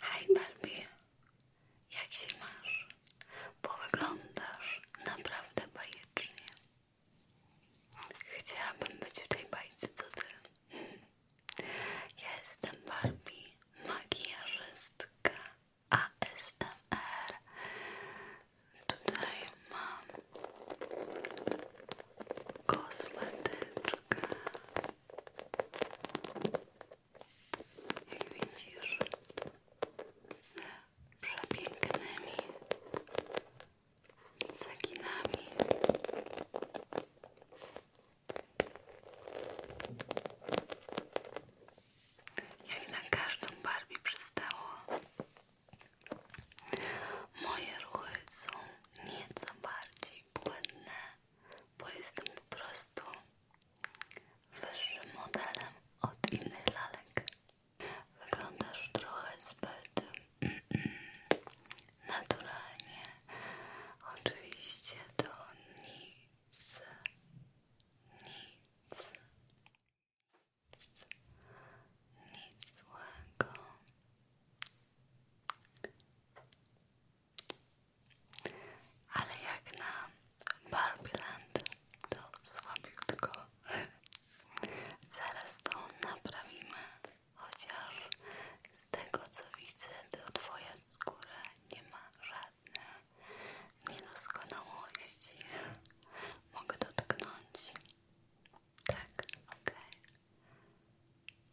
Hej Barbie, jak się masz? Bo wyglądasz naprawdę bajecznie. Chciałabym być w tej bajce tutaj. Ja jestem Barbie, makijażystka ASMR. Tutaj mam kosmetyczkę jak widzisz, z przepięknymi cekinami. Jak na każdą Barbie przystało, moje ruchy są nieco bardziej błędne bo jestem po prostu wyższym modelem od innych lalek. Wyglądasz trochę zbyt naturalnie. Oczywiście to nic, nic, nic złego. Ale jak na Barbie Land, to słabiutko. Zaraz to naprawimy, chociaż z tego co widzę, to Twoja skóra nie ma żadnych niedoskonałości. Mogę dotknąć. Tak, okej.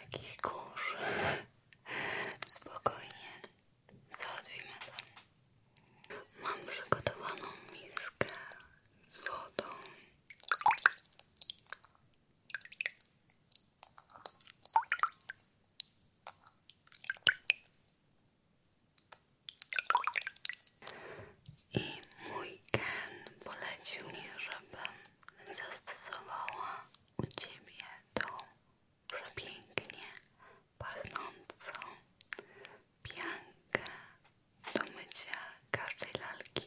Jakiś kurz. Spokojnie. Załatwimy to. Mam przygotowaną miskę z wodą. I mój Ken polecił mi, żebym zastosowała u Ciebie tą przepięknie pachnącą piankę do mycia każdej lalki.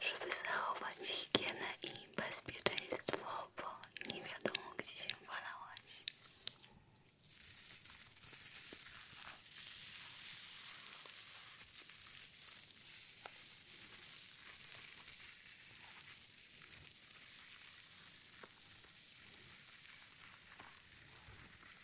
żeby zachować higienę i bezpieczeństwo, bo nie wiadomo gdzie się walałaś.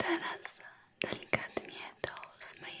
Teraz delikatnie to zmyjemy.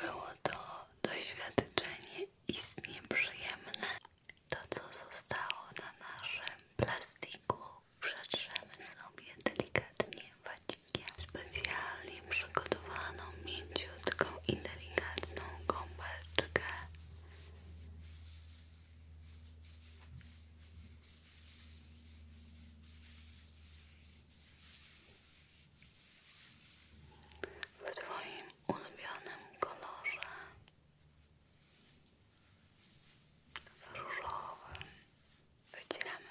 Było to doświadczenie istnie przyjemne. To, co zostało na naszym plastiku, przetrzemy sobie delikatnie wacikiem. Specjalnie przygotowaną, mięciutką i delikatną gąbeczkę w Twoim ulubionym kolorze, w różowym. Wycieramy.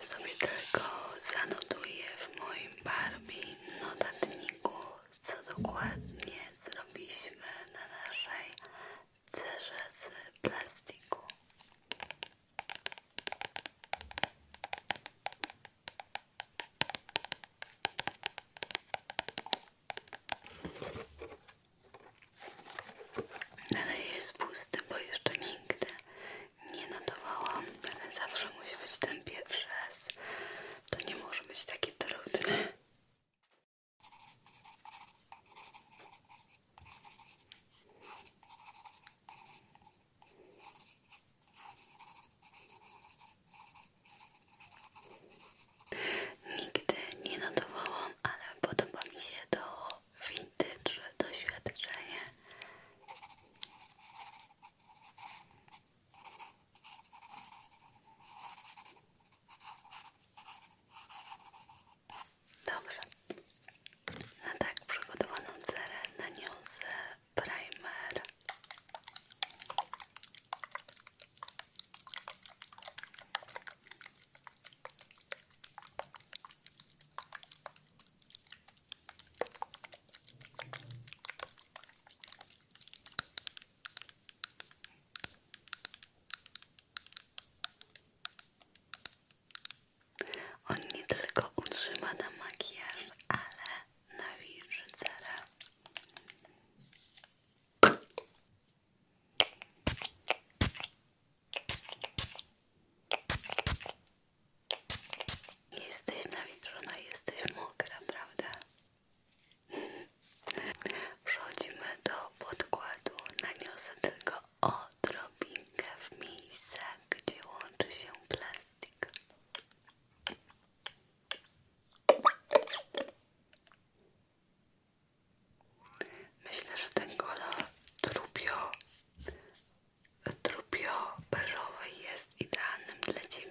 Sobie tylko zanotuję w moim Barbie notatniku, co dokładnie zrobiliśmy na naszej cerze z plastiku. Na razie jest pusty, bo jeszcze nigdy nie notowałam, zawsze musi być ten pierwszy raz. To nie może być takie trudne. Nigdy nie notowałam, ale podoba mi się to vintage doświadczenie. Dobrze. Na tak przygotowaną cerę naniosę primer. On nie tylko utrzyma nam makijaż, ale nawilży Jesteś nawilżona, no jesteś mokra, prawda? Przechodzimy do podkładu. Naniosę tylko odrobinkę w miejsce, gdzie łączy się plastik. Myślę, że ten kolor trupio, trupio beżowy jest idealnym dla Ciebie.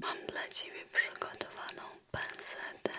Mam dla Ciebie przygotowaną pensetę.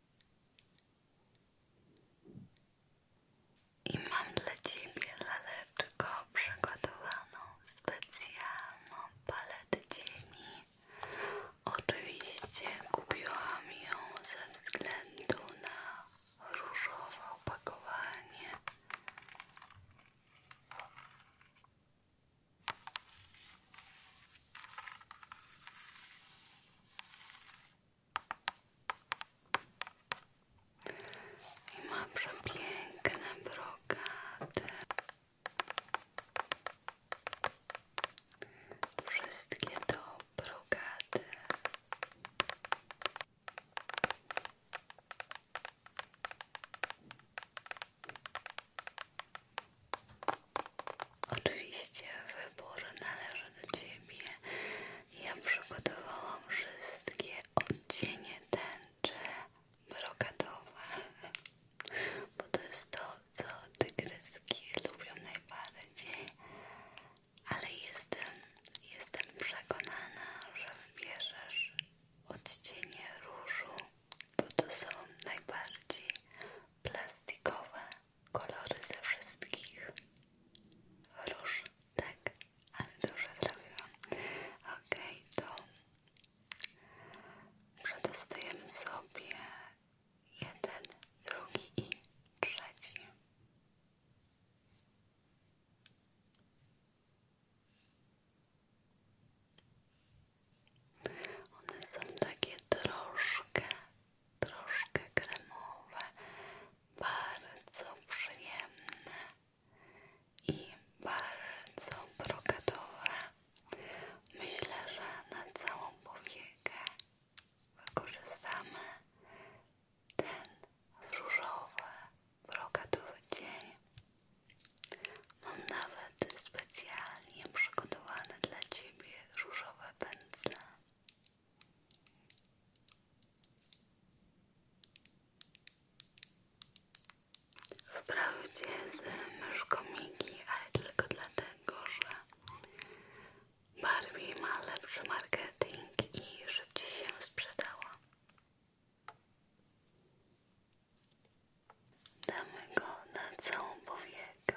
I mam dla Ciebie laleczko przygotowaną specjalną paletę cieni. Oczywiście kupiłam ją ze względu na różowe opakowanie. I ma przepiękne brokaty. Wszystkie do brokaty. Oczywiście wybór należy do Ciebie. Ja przygotowałam wszystkie odcienie tęczy brokatowe, bo to jest to, co tygryski lubią najbardziej, ale jestem, jestem przekonana, że wybierzesz odcienie różu, bo to są najbardziej plastikowe kolory ze wszystkich róż, tak, ale dużo zrobiłam. Okej, to przetestujemy sobie jeden, drugi i trzeci. One są takie troszkę troszkę kremowe, bardzo przyjemne i bardzo brokatowe. Myślę, że na całą powiekę wykorzystamy ten różowy, brokatowy dzień. Mam nawet specjalnie przygotowane dla Ciebie różowe pędzle. Wprawdzie z myszką Miki, ale tylko dlatego, że Barbie ma lepszy marketing i szybciej się sprzedała. Damy go na całą powiekę.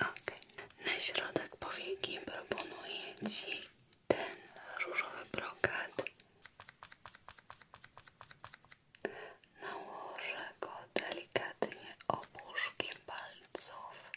Ok, na środek powieki proponuję Ci ten różowy brokat. Nałożę go delikatnie opuszkiem palców.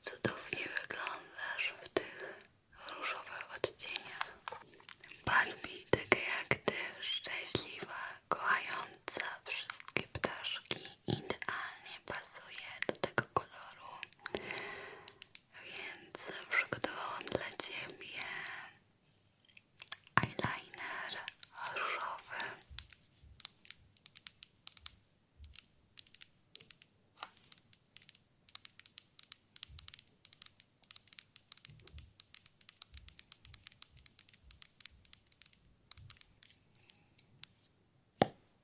Cudownie wyglądasz w tych różowych odcieniach. Barbie, taka jak ty, szczęśliwa, kochająca wszystkie ptaszki idealnie pasuje do tego koloru, więc przygotowałam dla Ciebie eyeliner różowy.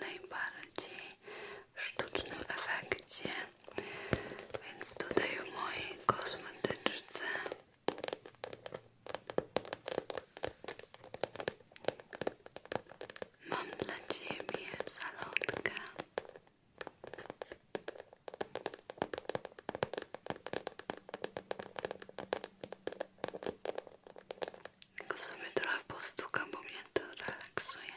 najbardziej sztucznym efekcie, więc tutaj w mojej kosmetyczce Mam dla ciebie zalotkę. Tylko sobie trochę postukam, bo mnie to relaksuje.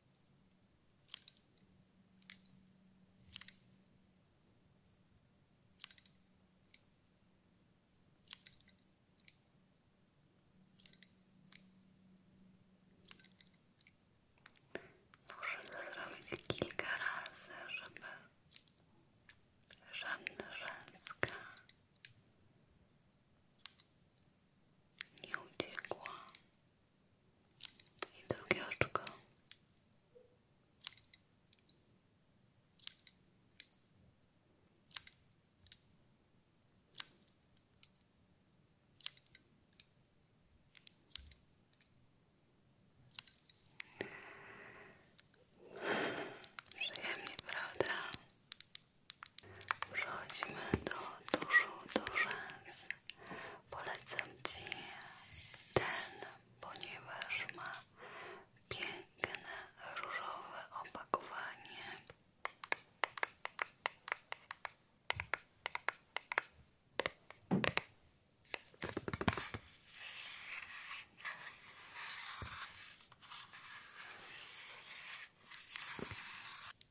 Muszę to zrobić kilka razy, żeby żadna rzęska nie uciekła. I drugie oczko. Przyjemnie, prawda? Przechodzimy do tuszu do Polecam Ci ten, ponieważ ma piękne różowe opakowanie.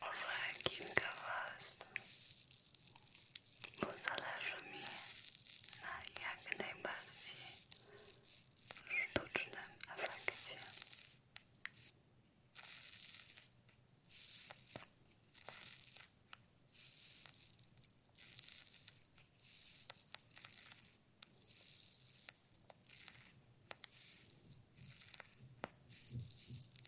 Może kilka was. Bo zależy mi na jak najbardziej sztucznym efekcie.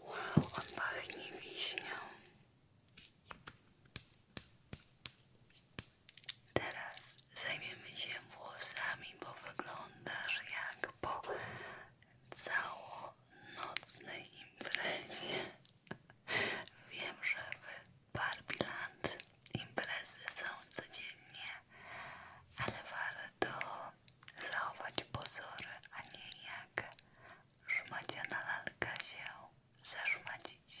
Wow, on pachnie wiśnią. Teraz zajmiemy się włosami, bo wyglądasz jak po całonocnej imprezie. Wiem, że w Barbiland imprezy są codziennie, ale warto zachować pozory, a nie jak szmaciana lalka się zaszmacić.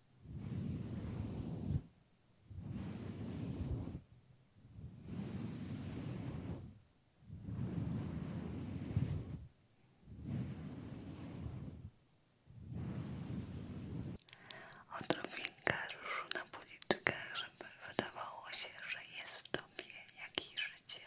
Odrobinka ruszu na policzkach, żeby wydawało się, że jest w tobie jakieś życie.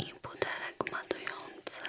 i butelek matujący.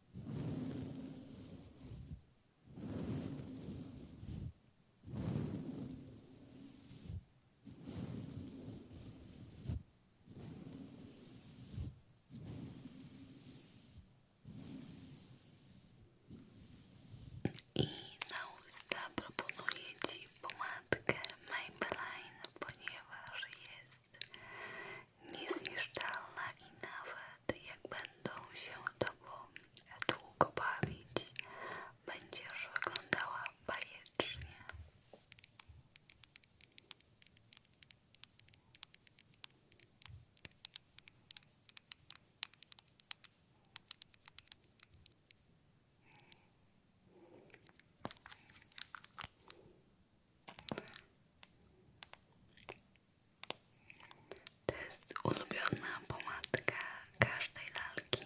I na usta proponuję Ci pomadkę Maybelline, ponieważ jest niezniszczalna i nawet jak będą się tobą długo bawić, będziesz wyglądała bajecznie. To jest ulubiona pomadka każdej lalki.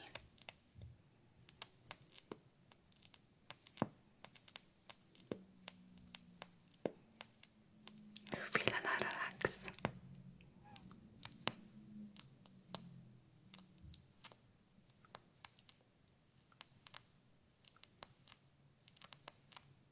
Chwila na relaks.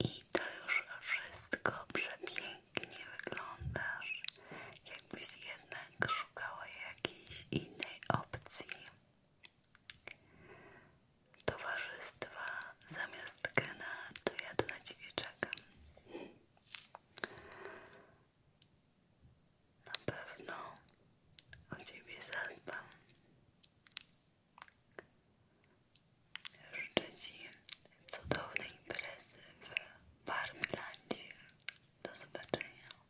I to już wszystko przepięknie wyglądasz, jakbyś jednak szukała jakiejś innej opcji towarzystwa zamiast Kena, to ja tu na ciebie czekam. Na pewno o ciebie zadbam. Życzę ci cudownej imprezy w Barmlandzie. Do zobaczenia.